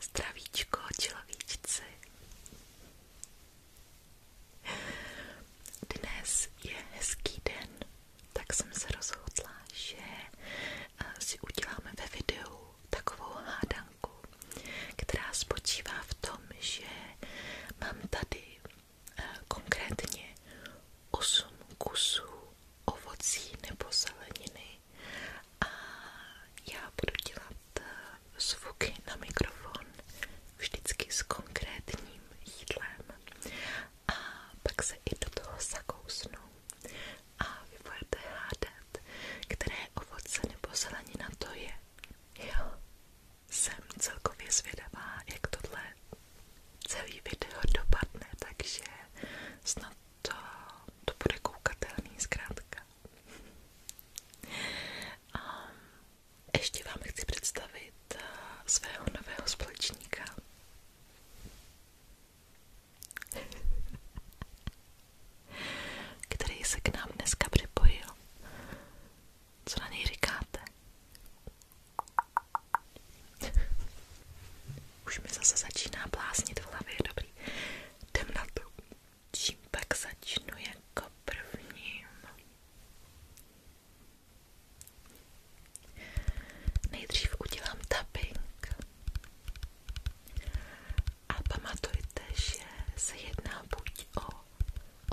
Zdravíčko človíčci. Dnes je hezký den, tak jsem se rozhodla, že eh, si uděláme ve videu takovou hádanku, která spočívá v tom, že mám tady eh, konkrétně 8 kusů ovocí nebo zeleniny a já budu dělat eh, zvuky na mikrofon vždycky s konkrétním jídlem a pak se i do toho a vy budete které ovoce nebo zelenina to je. Jo, jsem celkově zvědavá, jak tohle celý video dopadne, takže snad to, to bude koukatelný zkrátka. A ještě vám chci představit eh, svého nového společníka. který se k nám dneska připojil. Co na něj říkáte? Už mi zase začíná bláznit v hlavě, dobrý. Jdem na to. Čím pak začnu jako prvním? Nejdřív udělám tapping. A pamatujte, že se jedná buď o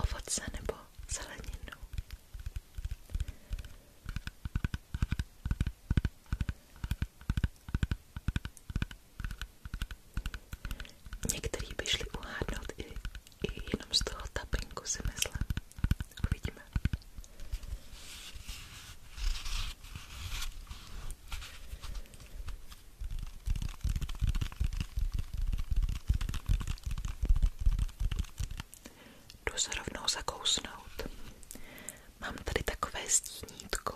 ovoce nebo zeleninu. Některý by šli uhádnout i, i jenom z toho tapinku si myslím. Uvidíme. Jdu se rovnou zakousnout. Mám tady takové stínítko,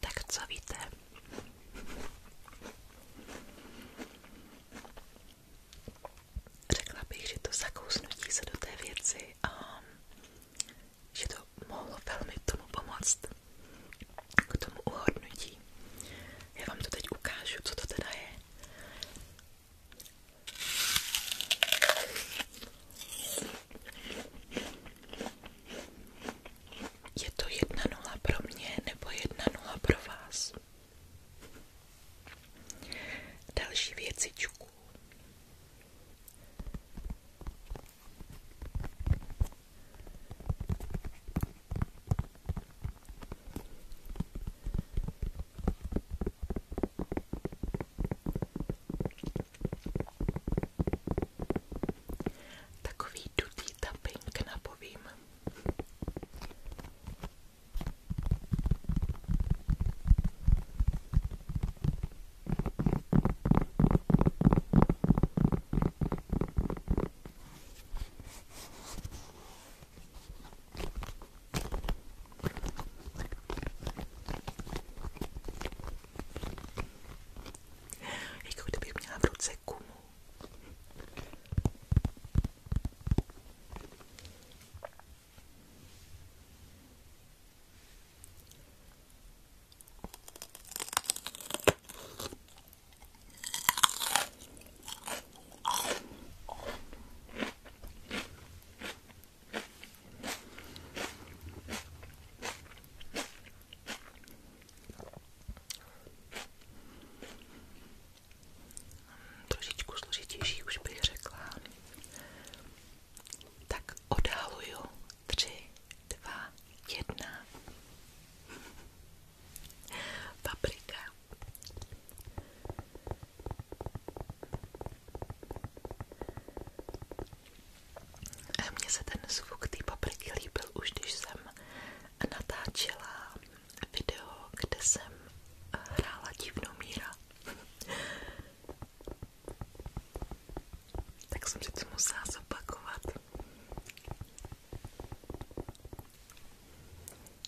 Tak co víte? Řekla bych, že to zakousnutí se do té věci a že to mohlo velmi tomu pomoct, k tomu uhodnutí. Já vám to teď ukážu, co to teda je. Je to jedna nula pro mě nebo jedna nula pro vás? Další věcičku. Takový dutý tapping napovím. Jako kdybych měla v ruce gumu. Trošičku složitější už bych řekla. Tak odhaluju. Tři, dva, jedna. Paprika. Mně se ten zvuk té papriky líbil už, když jsem natáčela video, kde jsem hrála divnou míra. tak jsem si to musela zopakovat.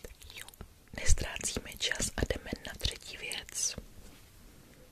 Tak jo, nestrácíme čas a jdeme na třetí věc.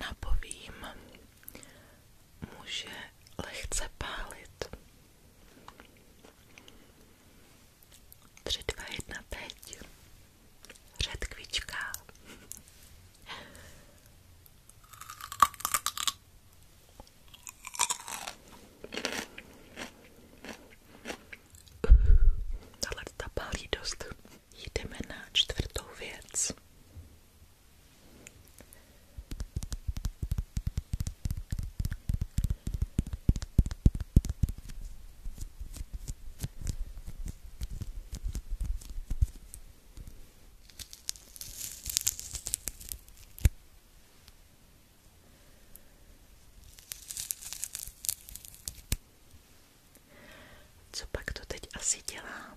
Napovím, může lehce pálit. 3, 2, 1, teď. Řetkvička. Tahle ta pálí dost. Jdeme na čtvrtou věc. Co pak to teď asi dělám?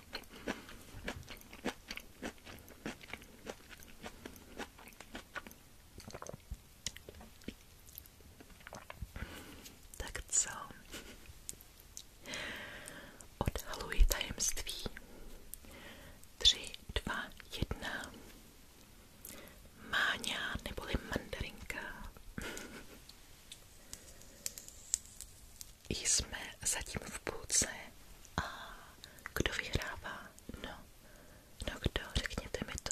Tak co? Odhaluji tajemství. Tři, dva, jedna. Máňa neboli mandarinka jsme zatím v půlce a kdo vyhrává? No, no kdo? Řekněte mi to.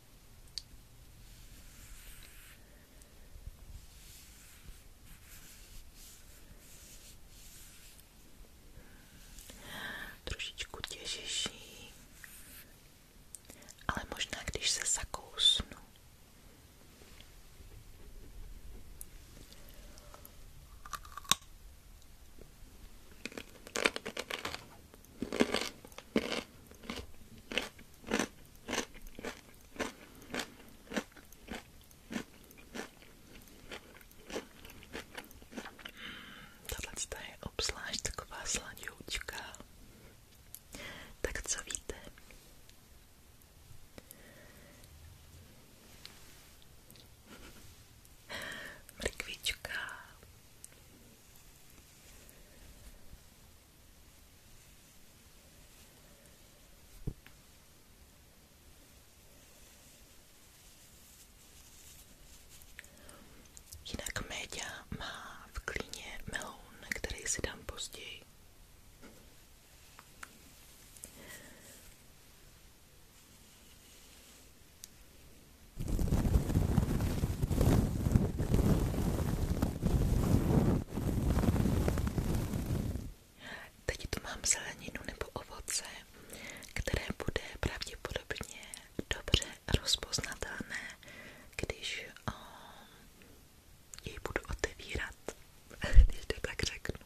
Trošičku těžší, ale možná když se zakousnu. Tato je obzvlášť taková sladoučka. Tak co víte? Mrkvička. Jinak média má v klíně meloun, který si dám později. Teď tu mám zeleninu nebo ovoce, které bude pravděpodobně dobře rozpoznatelné, když o, ehm, jej budu otevírat, když to tak řeknu.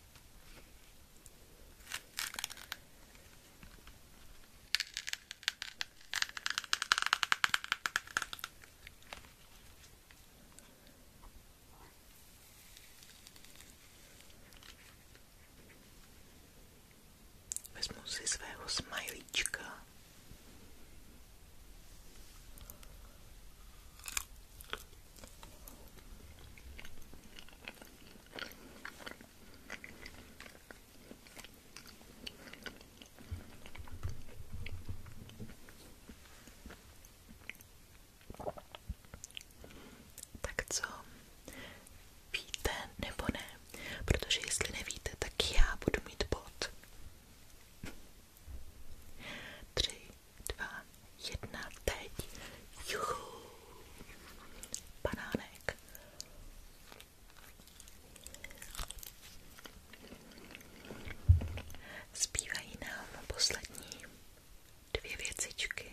Vezmu si svého smajlíčka. Tak co? Víte nebo ne? Protože jestli nevíte, tak já budu mít bod. Tři, dva, jedna teď. Juhu. Banánek. Zbývají nám poslední dvě věcičky.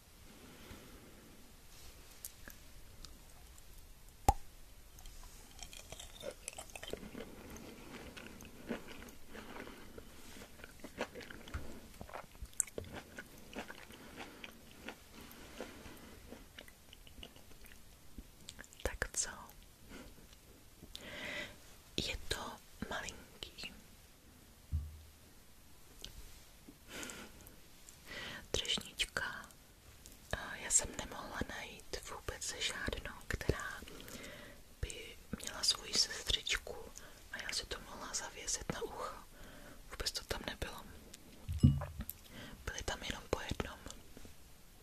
Tak co? Je to malinký. Třešnička. Já jsem nemohla najít vůbec žádnou, která by měla svoji sestřičku a já si to mohla zavěsit na ucho. Vůbec to tam nebylo. Byly tam jenom po jednom.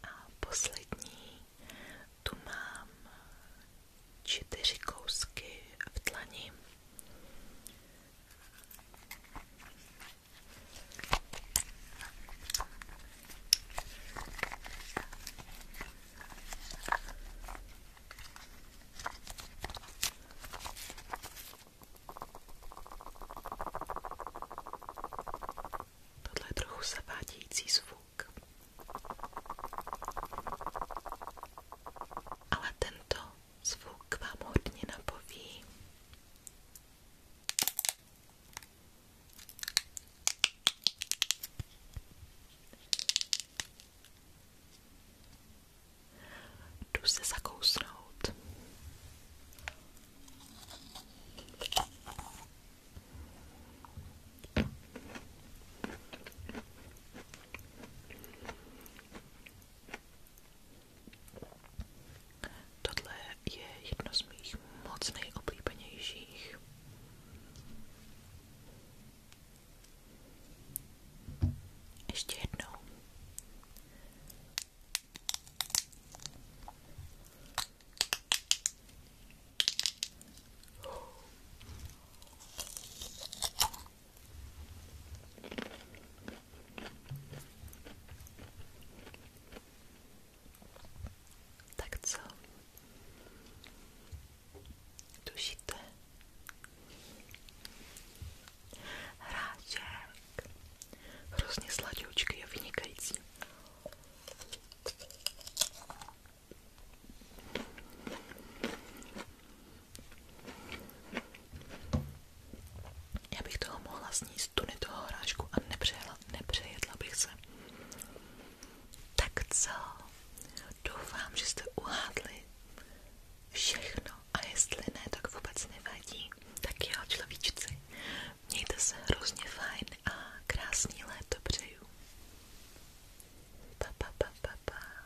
A poslední tu mám čtyři kousky v tlani. Tohle je trochu zavádějící zvuk. Ale tento zvuk vám hodně napoví. Jdu se zakousnout. Tohle je jedno z mých moc nejoblíbenějších. Ještě jednou. Tak co? Tušíte? Hráček. Hrozně sladoučky je vynikající. Já bych toho mohla sníst tuny toho hrášku a nepřejedla, nepřejedla bych se. Tak co? Doufám, že jste uhádli všechno a jestli ne, tak vůbec nevadí. Tak jo, človíčci, mějte se hrozně fajn a krásný léto přeju. Pa, pa, pa, pa, pa.